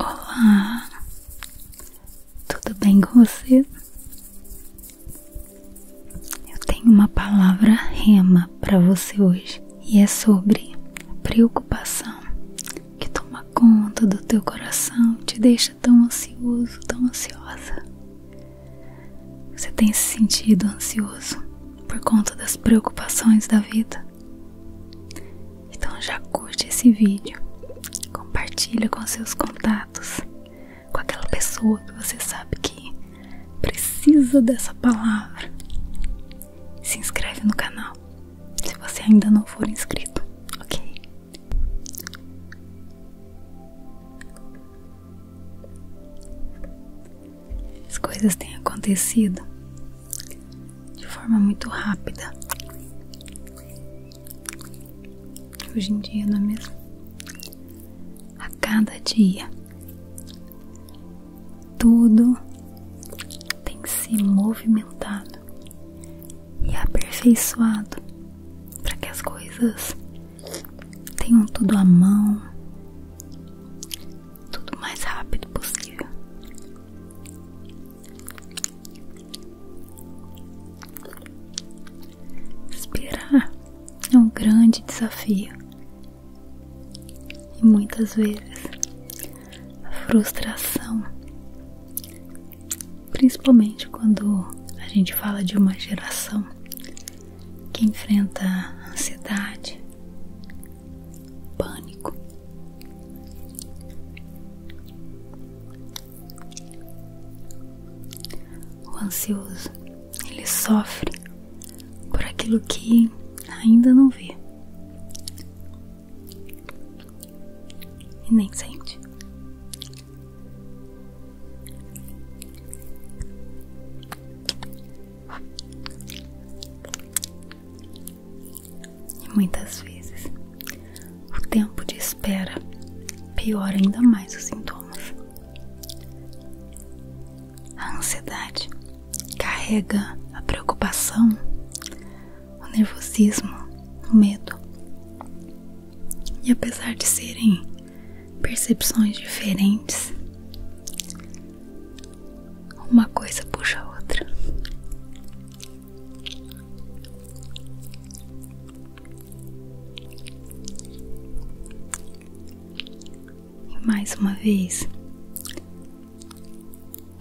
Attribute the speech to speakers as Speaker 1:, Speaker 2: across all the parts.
Speaker 1: Olá, tudo bem com você? Eu tenho uma palavra rema para você hoje e é sobre preocupação que toma conta do teu coração, te deixa tão ansioso, tão ansiosa. Você tem se sentido ansioso por conta das preocupações da vida? Então já curte esse vídeo, compartilha com seus contatos, com aquela pessoa que você sabe que precisa dessa palavra. Se inscreve no canal se você ainda não for inscrito, ok? As coisas têm acontecido de forma muito rápida hoje em dia, não é mesmo? A cada dia, tudo tem se movimentado e aperfeiçoado para que as coisas tenham tudo à mão, tudo mais rápido possível. Esperar é um grande desafio e muitas vezes frustração, principalmente quando a gente fala de uma geração que enfrenta ansiedade, pânico. O ansioso ele sofre por aquilo que ainda não vê. E nem sente. E muitas vezes o tempo de espera piora ainda mais os sintomas. A ansiedade carrega a preocupação o nervosismo, o medo. E apesar de serem percepções diferentes, uma coisa puxa a outra. E mais uma vez,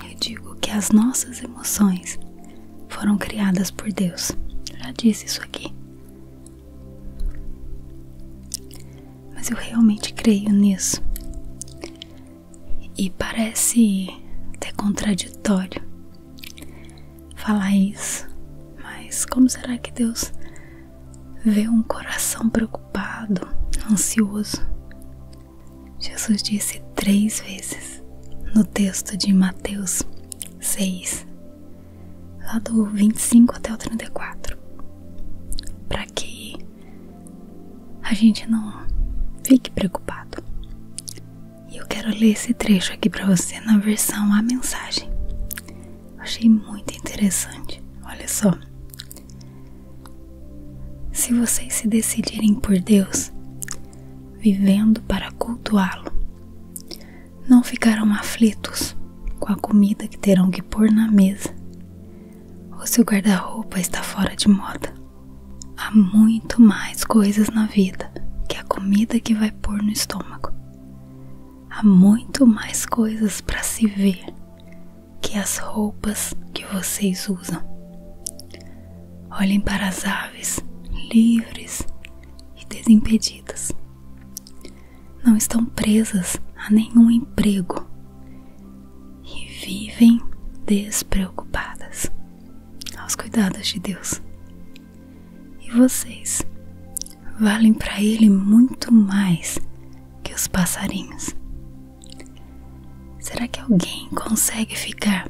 Speaker 1: eu digo que as nossas emoções foram criadas por Deus. Já disse isso aqui. Mas eu realmente creio nisso. E parece até contraditório falar isso. Mas como será que Deus vê um coração preocupado, ansioso? Jesus disse três vezes no texto de Mateus 6, lá do 25 até o 34, para que a gente não fique preocupado. E eu quero ler esse trecho aqui para você na versão A Mensagem. achei muito interessante. Olha só. Se vocês se decidirem por Deus, vivendo para cultuá-lo. Não ficarão aflitos com a comida que terão que pôr na mesa, ou se o guarda-roupa está fora de moda. Há muito mais coisas na vida que a comida que vai pôr no estômago. Há muito mais coisas para se ver que as roupas que vocês usam. Olhem para as aves, livres e desimpedidas. Não estão presas a nenhum emprego e vivem despreocupadas aos cuidados de Deus. E vocês valem para Ele muito mais que os passarinhos. Será que alguém consegue ficar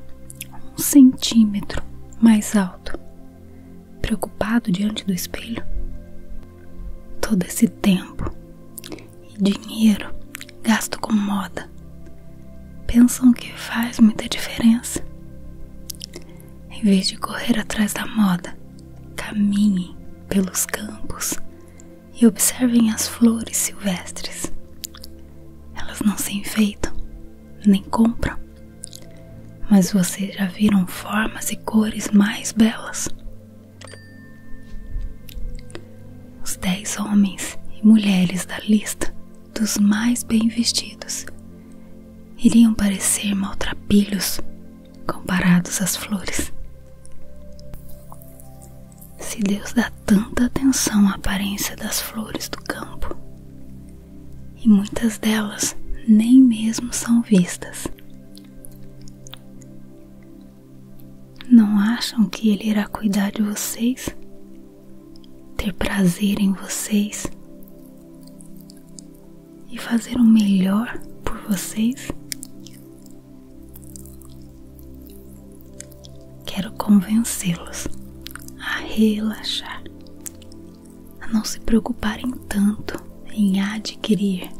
Speaker 1: um centímetro mais alto, preocupado diante do espelho? Todo esse tempo e dinheiro gasto com moda pensam que faz muita diferença. Em vez de correr atrás da moda, caminhem pelos campos e observem as flores silvestres, elas não se enfeitam, nem compram, mas você já viram formas e cores mais belas. Os dez homens e mulheres da lista dos mais bem vestidos iriam parecer maltrapilhos comparados às flores. Se Deus dá tanta atenção à aparência das flores do campo, e muitas delas nem mesmo são vistas, não acham que Ele irá cuidar de vocês, ter prazer em vocês e fazer o melhor por vocês? Quero convencê-los a relaxar, a não se preocuparem tanto em adquirir.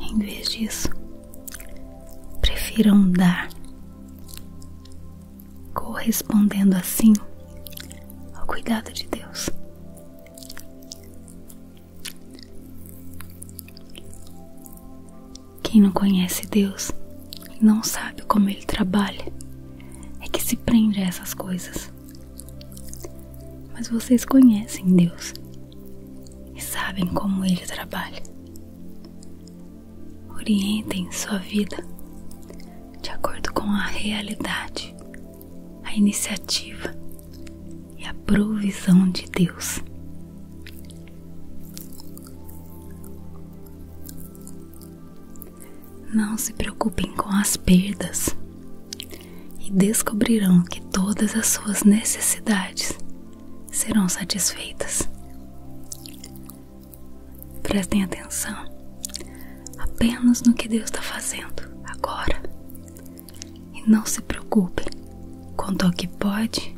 Speaker 1: Em vez disso, prefiram dar, correspondendo assim ao cuidado de Deus. Quem não conhece Deus e não sabe como Ele trabalha é que se prende a essas coisas. Mas vocês conhecem Deus e sabem como Ele trabalha. Orientem sua vida de acordo com a realidade, a iniciativa e a provisão de Deus. Não se preocupem com as perdas e descobrirão que todas as suas necessidades serão satisfeitas. Prestem atenção apenas no que Deus está fazendo agora e não se preocupem quanto ao que pode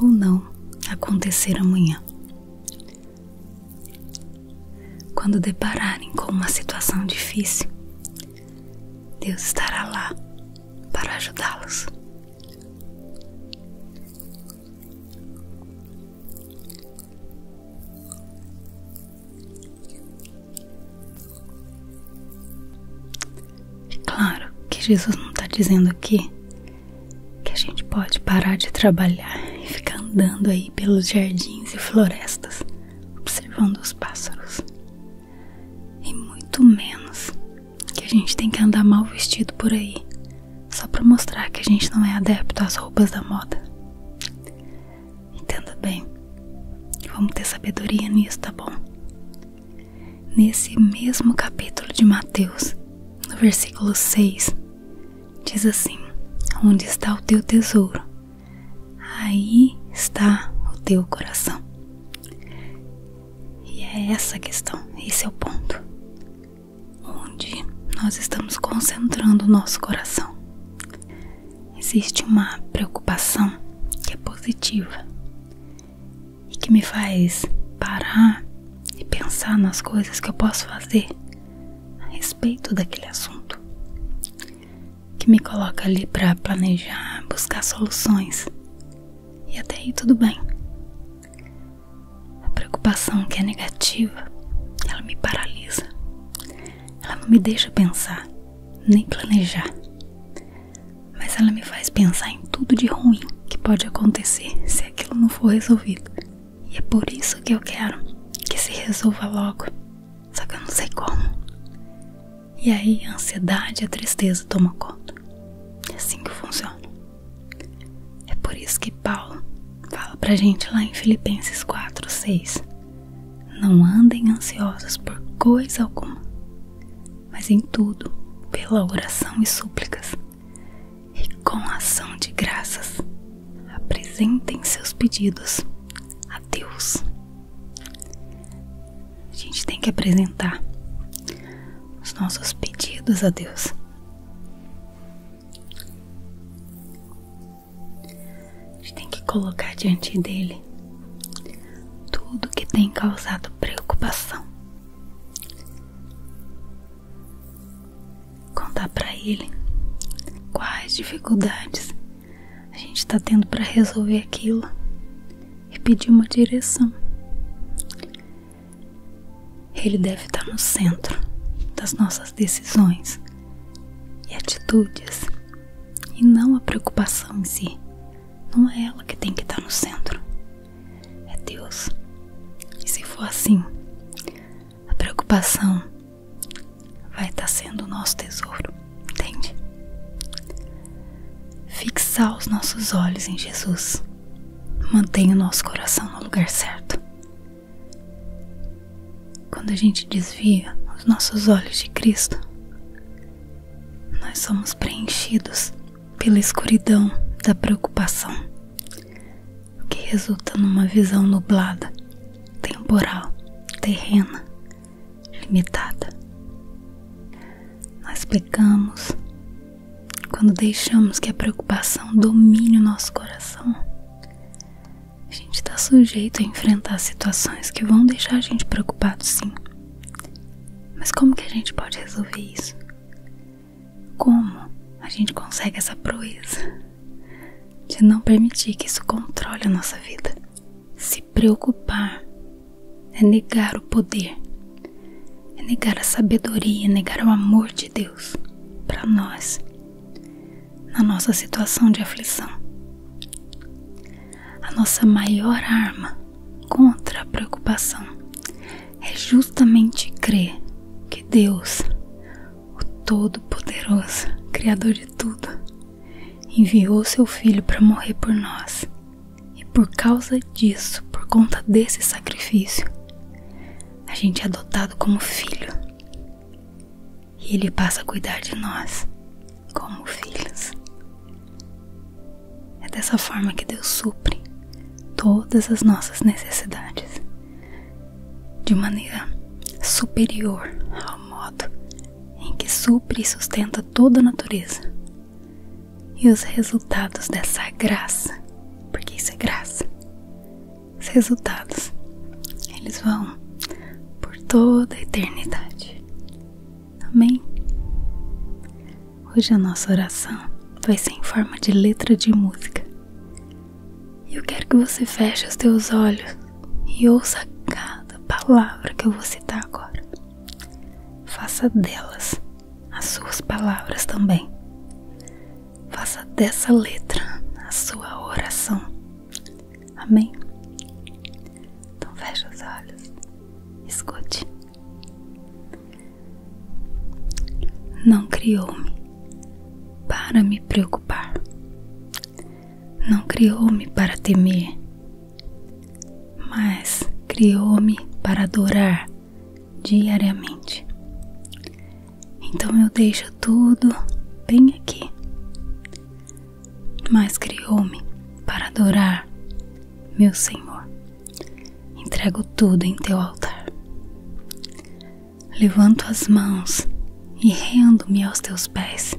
Speaker 1: ou não acontecer amanhã. Quando depararem com uma situação difícil, Deus estará lá para ajudá-los. É claro que Jesus não está dizendo aqui que a gente pode parar de trabalhar e ficar andando aí pelos jardins e florestas, observando os pássaros. E muito menos que a gente tem que andar mal vestido por aí, só para mostrar que a gente não é adepto às roupas da moda. Entenda bem, vamos ter sabedoria nisso, tá bom? Nesse mesmo capítulo de Mateus, no versículo 6, diz assim: Onde está o teu tesouro? Aí está o teu coração. E é essa a questão, esse é o ponto. Onde nós estamos concentrando o nosso coração. Existe uma preocupação que é positiva, e que me faz parar e pensar nas coisas que eu posso fazer a respeito daquele assunto, que me coloca ali para planejar, buscar soluções e até aí tudo bem. A preocupação que é negativa, ela me paralisa, ela não me deixa pensar nem planejar mas ela me faz pensar em tudo de ruim que pode acontecer se aquilo não for resolvido. E é por isso que eu quero que se resolva logo. Só que eu não sei como. E aí a ansiedade e a tristeza tomam conta. É assim que funciona. É por isso que Paulo fala pra gente lá em Filipenses 4, 6. Não andem ansiosos por coisa alguma, mas em tudo, pela oração e súplicas, e com ação de graças apresentem seus pedidos a Deus. A gente tem que apresentar os nossos pedidos a Deus. A gente tem que colocar diante dele tudo que tem causado preocupação, Contar para ele quais dificuldades a gente está tendo para resolver aquilo e pedir uma direção. Ele deve estar tá no centro das nossas decisões e atitudes e não a preocupação em si. Não é ela que tem que estar tá no centro é Deus. E se for assim, a preocupação vai estar tá sendo o nosso tesouro, entende? Fixar os nossos olhos em Jesus. Mantenha o nosso coração no lugar certo. Quando a gente desvia os nossos olhos de Cristo, nós somos preenchidos pela escuridão da preocupação, o que resulta numa visão nublada, temporal, terrena, limitada. Nós pecamos quando deixamos que a preocupação domine o nosso coração. A gente está sujeito a enfrentar situações que vão deixar a gente preocupado, sim. Mas como que a gente pode resolver isso? Como a gente consegue essa proeza de não permitir que isso controle a nossa vida? Se preocupar é negar o poder, é negar a sabedoria, é negar o amor de Deus para nós, na nossa situação de aflição. A nossa maior arma contra a preocupação é justamente crer que Deus, o Todo-Poderoso, Criador de tudo, enviou seu Filho para morrer por nós. E por causa disso, por conta desse sacrifício, a gente é adotado como filho. E Ele passa a cuidar de nós como filhos. É dessa forma que Deus supre todas as nossas necessidades de maneira superior ao modo em que supre e sustenta toda a natureza. E os resultados dessa graça, porque isso é graça. Os resultados, eles vão por toda a eternidade. Amém? Hoje a nossa oração vai ser em forma de letra de música. Eu quero que você feche os teus olhos e ouça cada palavra que eu vou citar agora. Faça delas as suas palavras também. Faça dessa letra a sua oração. Amém? Então feche os olhos. Escute. Não criou-me para me preocupar. Não criou-me para temer, mas criou-me para adorar diariamente. Então eu deixo tudo bem aqui. Mas criou-me para adorar meu Senhor entrego tudo em teu altar. Levanto as mãos e rendo-me aos teus pés.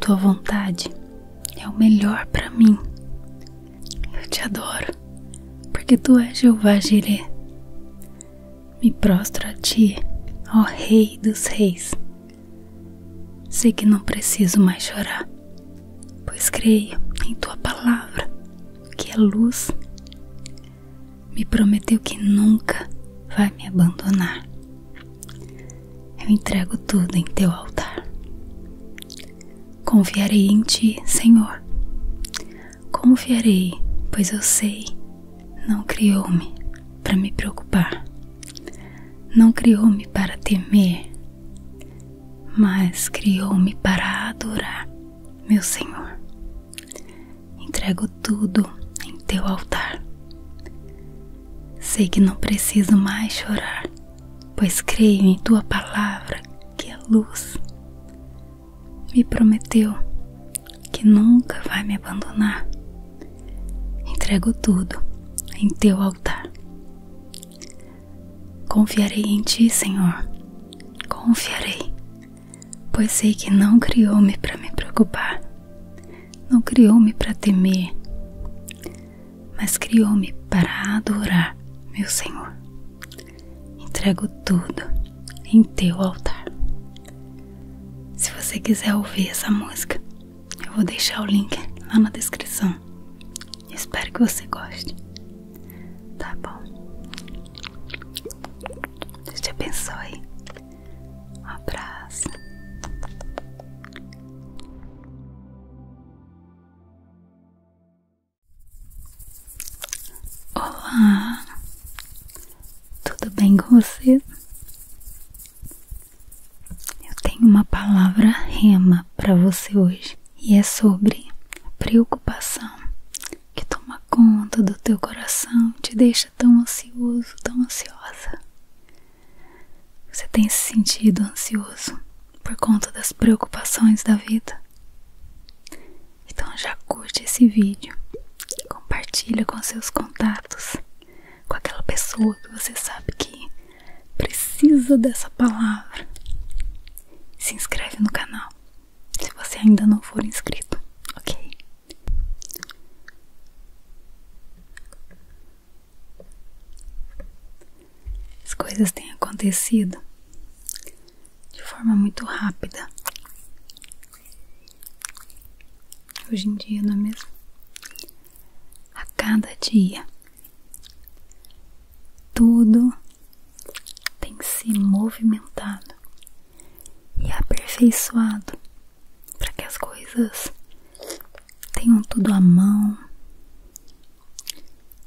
Speaker 1: Tua vontade é o melhor para mim. Eu te adoro, porque tu és Jeová Jireh. Me prostro a ti, ó Rei dos Reis. Sei que não preciso mais chorar pois creio em tua palavra, que é luz. Me prometeu que nunca vai me abandonar. Eu entrego tudo em teu altar. Confiarei em ti, Senhor. Confiarei, pois eu sei, não criou-me para me preocupar. Não criou-me para temer mas criou-me para adorar, meu Senhor. Entrego tudo em teu altar. Sei que não preciso mais chorar, pois creio em tua palavra, que é luz. Me prometeu que nunca vai me abandonar. Entrego tudo em teu altar. Confiarei em ti, Senhor. Confiarei, pois sei que não criou-me para me preocupar, não criou-me para temer, mas criou-me para adorar, meu Senhor. Entrego tudo em teu altar. Se você quiser ouvir essa música, eu vou deixar o link lá na descrição. Espero que você goste. Tá bom? Deus te abençoe. Um abraço. Olá, tudo bem com você? Eu tenho uma palavra rema para você hoje e é sobre a preocupação que toma conta do teu coração, te deixa tão ansioso, tão ansiosa. Você tem se sentido ansioso por conta das preocupações da vida? Então já curte esse vídeo, compartilha com seus contatos, com aquela pessoa que você sabe que precisa dessa palavra. Se inscreve no canal se você ainda não for inscrito, ok? As coisas têm acontecido de forma muito rápida. Hoje em dia, não é mesmo? A cada dia, tudo tem que se movimentar e aperfeiçoado para que as coisas tenham tudo à mão,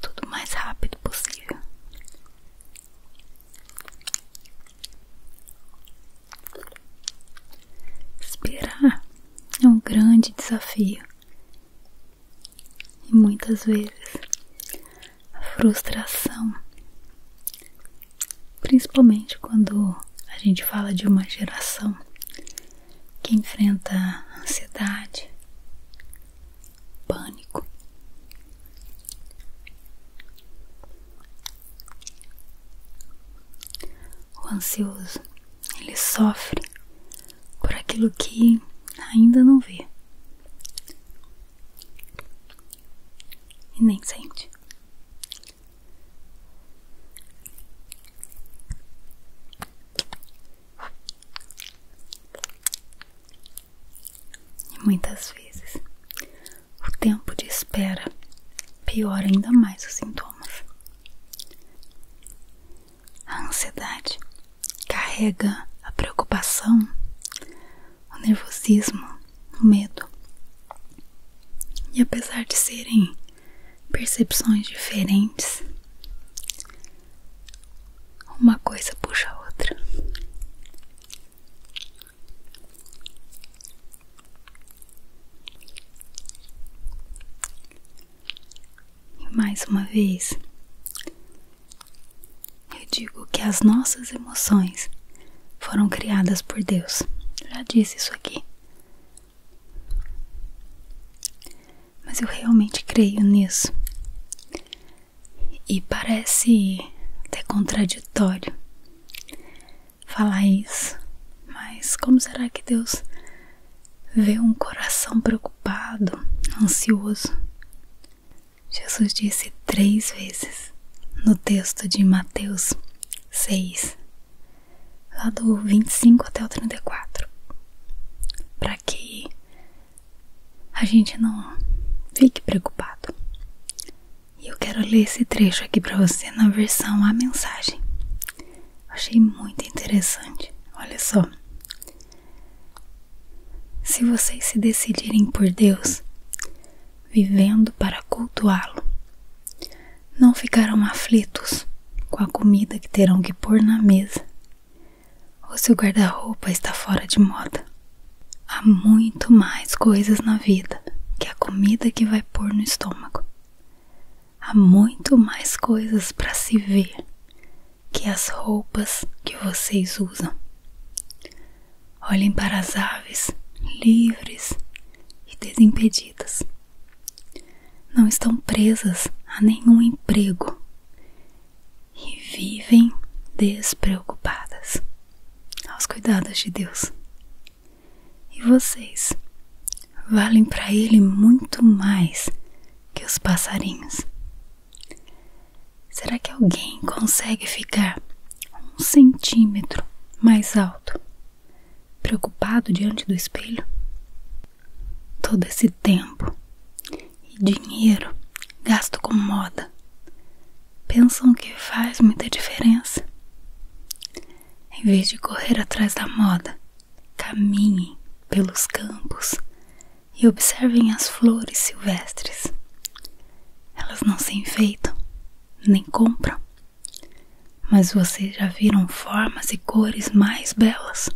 Speaker 1: tudo mais rápido possível. Esperar é um grande desafio. E muitas vezes a frustração, principalmente quando a gente fala de uma geração que enfrenta ansiedade, pânico. O ansioso, ele sofre por aquilo que ainda não vê e nem sente. E muitas vezes o tempo de espera piora ainda mais os sintomas. A ansiedade carrega a preocupação, o nervosismo, o medo. E apesar de serem percepções diferentes, uma coisa puxa a outra. E mais uma vez, eu digo que as nossas emoções foram criadas por Deus. Já disse isso aqui. Mas eu realmente creio nisso. E parece até contraditório falar isso. Mas como será que Deus vê um coração preocupado, ansioso. Jesus disse três vezes no texto de Mateus 6, lá do 25 até o 34, para que a gente não fique preocupado. E eu quero ler esse trecho aqui para você na versão A Mensagem. Achei muito interessante. Olha só. Se vocês se decidirem por Deus, vivendo para cultuá-lo, não ficarão aflitos com a comida que terão que pôr na mesa ou se o guarda-roupa está fora de moda. Há muito mais coisas na vida que a comida que vai pôr no estômago. Há muito mais coisas para se ver que as roupas que vocês usam. Olhem para as aves livres e desimpedidas. Não estão presas a nenhum emprego e vivem despreocupadas aos cuidados de Deus. E vocês valem para Ele muito mais que os passarinhos. Será que alguém consegue ficar um centímetro mais alto? Preocupado diante do espelho? Todo esse tempo e dinheiro gasto com moda pensam que faz muita diferença. Em vez de correr atrás da moda, Caminhem pelos campos e observem as flores silvestres. Elas não se enfeitam, nem compram, mas vocês já viram formas e cores mais belas.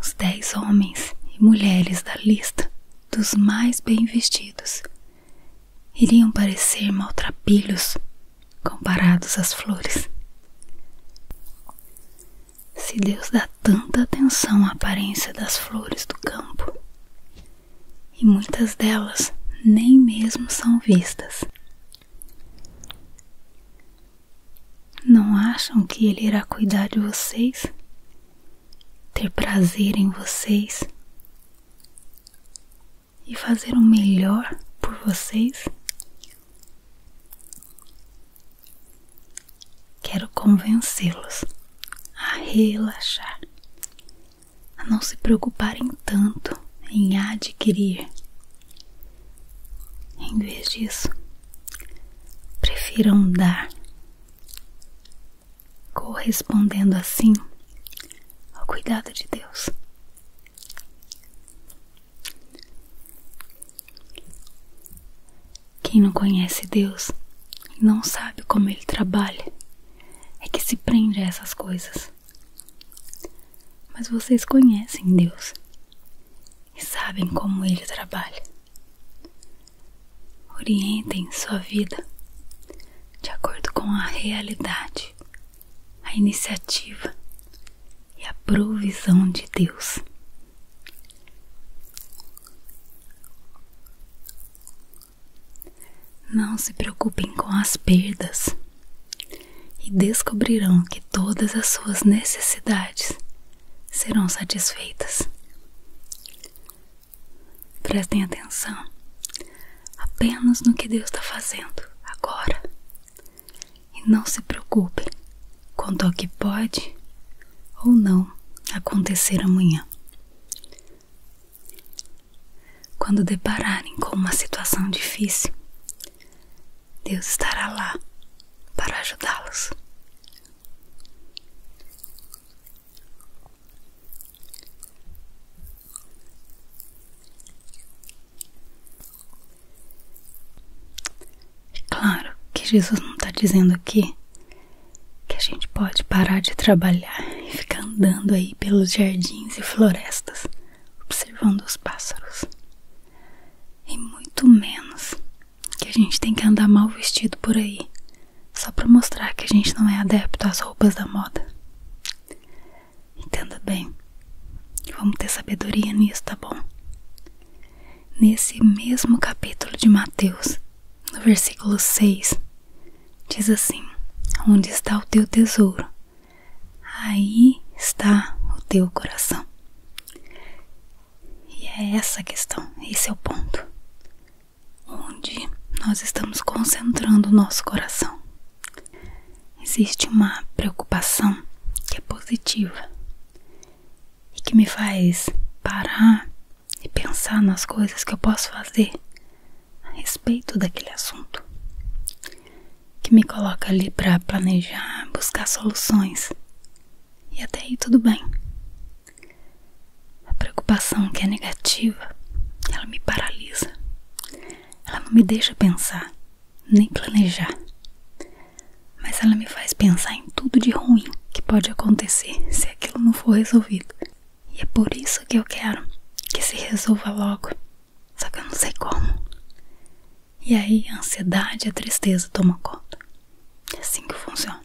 Speaker 1: Os dez homens e mulheres da lista dos mais bem vestidos iriam parecer maltrapilhos comparados às flores. Se Deus dá tanta atenção à aparência das flores do campo, e muitas delas nem mesmo são vistas. Não acham que Ele irá cuidar de vocês? Ter prazer em vocês? E fazer o melhor por vocês? Quero convencê-los a relaxar, a não se preocuparem tanto em adquirir. Em vez disso, prefiram dar, correspondendo assim ao cuidado de Deus quem não conhece Deus e não sabe como Ele trabalha é que se prende a essas coisas. Mas vocês conhecem Deus e sabem como Ele trabalha. Orientem sua vida de acordo com a realidade, a iniciativa e a provisão de Deus. Não se preocupem com as perdas e descobrirão que todas as suas necessidades serão satisfeitas. Prestem atenção apenas no que Deus está fazendo agora e não se preocupem quanto ao que pode ou não acontecer amanhã. Quando depararem com uma situação difícil, Deus estará lá para ajudá-los. É claro que Jesus não está dizendo aqui que a gente pode parar de trabalhar e ficar andando aí pelos jardins e florestas, observando os pássaros. E muito menos que a gente tem que andar mal vestido por aí, só para mostrar que a gente não é adepto às roupas da moda. Entenda bem. Vamos ter sabedoria nisso, tá bom? Nesse mesmo capítulo de Mateus, no versículo 6, diz assim: Onde está o teu tesouro? Aí está o teu coração. E é essa a questão, esse é o ponto. Onde nós estamos concentrando o nosso coração existe uma preocupação que é positiva e que me faz parar e pensar nas coisas que eu posso fazer a respeito daquele assunto, que me coloca ali para planejar, buscar soluções e até aí tudo bem. A preocupação que é negativa, ela me paralisa, ela não me deixa pensar, nem planejar. Mas ela me faz pensar em tudo de ruim que pode acontecer se aquilo não for resolvido. E é por isso que eu quero que se resolva logo. Só que eu não sei como. E aí a ansiedade e a tristeza tomam conta. É assim que funciona.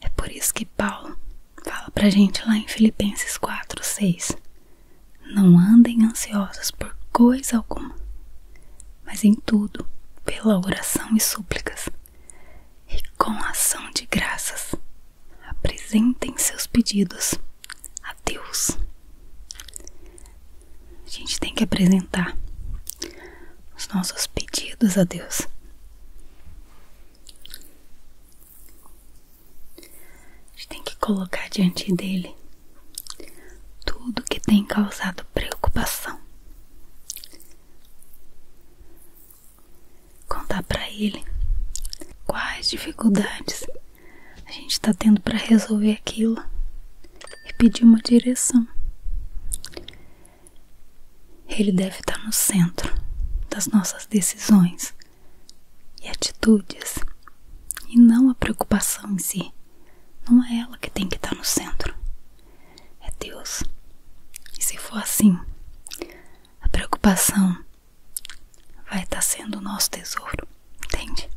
Speaker 1: É por isso que Paulo fala pra gente lá em Filipenses 4, 6. Não andem ansiosas por coisa alguma, mas em tudo, pela oração e súplicas, e com ação de graças, apresentem seus pedidos a Deus. A gente tem que apresentar os nossos pedidos a Deus a gente tem que colocar diante dele tudo que tem causado preocupação. Contar para ele quais dificuldades a gente está tendo para resolver aquilo e pedir uma direção. Ele deve estar tá no centro das nossas decisões e atitudes e não a preocupação em si. Não é ela que tem que estar no centro, é Deus. E se for assim, a preocupação vai estar sendo o nosso tesouro, entende?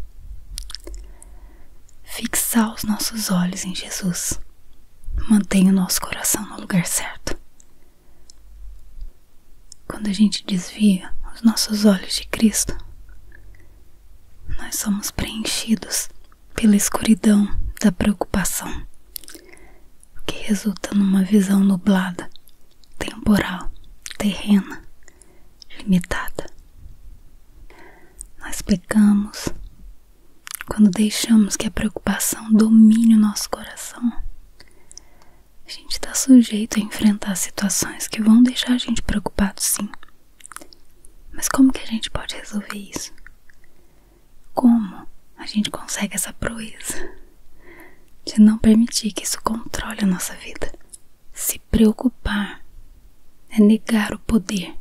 Speaker 1: Fixar os nossos olhos em Jesus. Mantenha o nosso coração no lugar certo. Quando a gente desvia os nossos olhos de Cristo, nós somos preenchidos pela escuridão da preocupação, o que resulta numa visão nublada, temporal, terrena, limitada. Nós pecamos quando deixamos que a preocupação domine o nosso coração. A gente está sujeito a enfrentar situações que vão deixar a gente preocupado, sim. Mas como que a gente pode resolver isso? Como a gente consegue essa proeza de não permitir que isso controle a nossa vida? Se preocupar é negar o poder,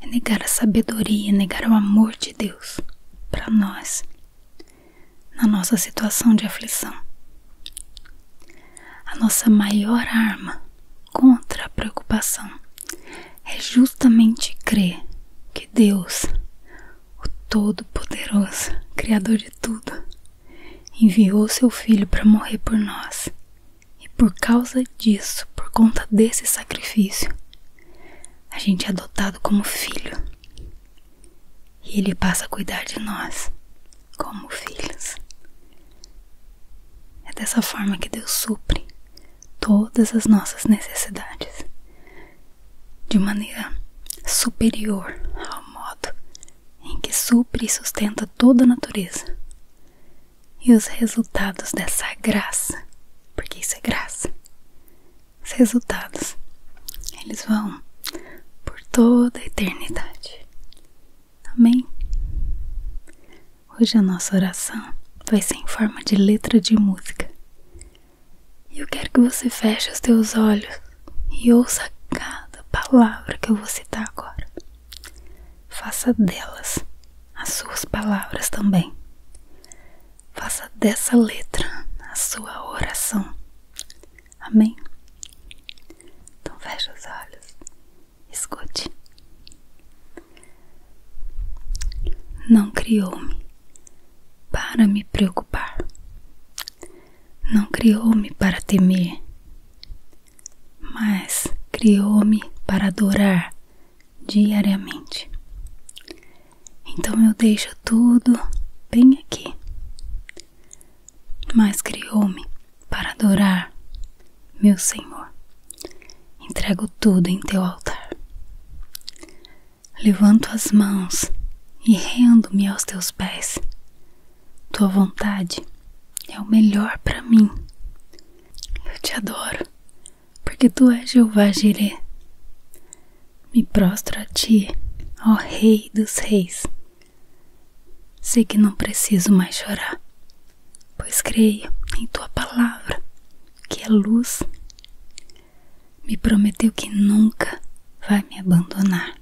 Speaker 1: é negar a sabedoria, é negar o amor de Deus para nós, na nossa situação de aflição. A nossa maior arma contra a preocupação é justamente crer que Deus, o Todo-Poderoso, Criador de tudo, enviou seu Filho para morrer por nós. E por causa disso, por conta desse sacrifício, a gente é adotado como filho. E ele passa a cuidar de nós como filhos. É dessa forma que Deus supre todas as nossas necessidades de maneira superior ao modo em que supre e sustenta toda a natureza. E os resultados dessa graça, porque isso é graça. Os resultados, eles vão por toda a eternidade. Amém? Hoje a nossa oração vai ser em forma de letra de música. eu quero que você feche os teus olhos e ouça cada palavra que eu vou citar agora. Faça delas as suas palavras também. Faça dessa letra a sua oração. Amém? Então feche os olhos, escute. Não criou-me para me preocupar. Não criou-me para temer, mas criou-me para adorar diariamente. Então eu deixo tudo bem aqui mas criou-me para adorar, meu Senhor. Entrego tudo em teu altar. Levanto as mãos e rendo-me aos teus pés. Tua vontade é o melhor para mim. Eu te adoro, porque tu és Jeová Jireh. Me prostro a ti, ó Rei dos Reis Sei que não preciso mais chorar, pois creio em tua palavra, que é luz. Me prometeu que nunca vai me abandonar.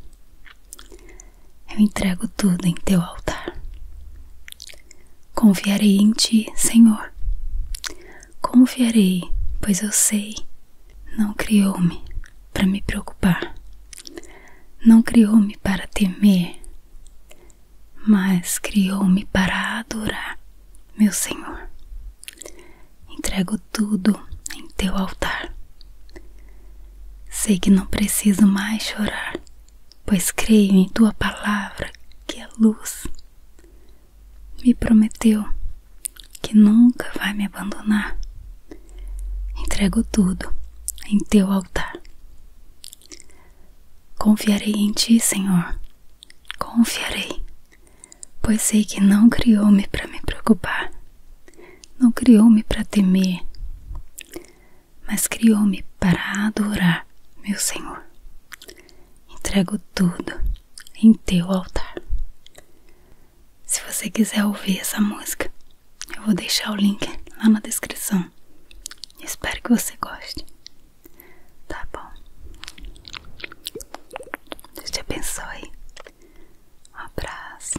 Speaker 1: Eu entrego tudo em teu altar. Confiarei em ti, Senhor. Confiarei, pois eu sei, não criou-me para me preocupar. Não criou-me para temer, mas criou-me para adorar, meu Senhor. Entrego tudo em teu altar. Sei que não preciso mais chorar, pois creio em tua palavra, que é luz. Me prometeu que nunca vai me abandonar. Entrego tudo em teu altar. Confiarei em ti, Senhor. Confiarei, pois sei que não criou-me para me preocupar, não criou-me para temer, mas criou-me para adorar, meu Senhor. Entrego tudo em teu altar. Se você quiser ouvir essa música, eu vou deixar o link lá na descrição. Espero que você goste. Tá bom. Deus te abençoe. Um abraço.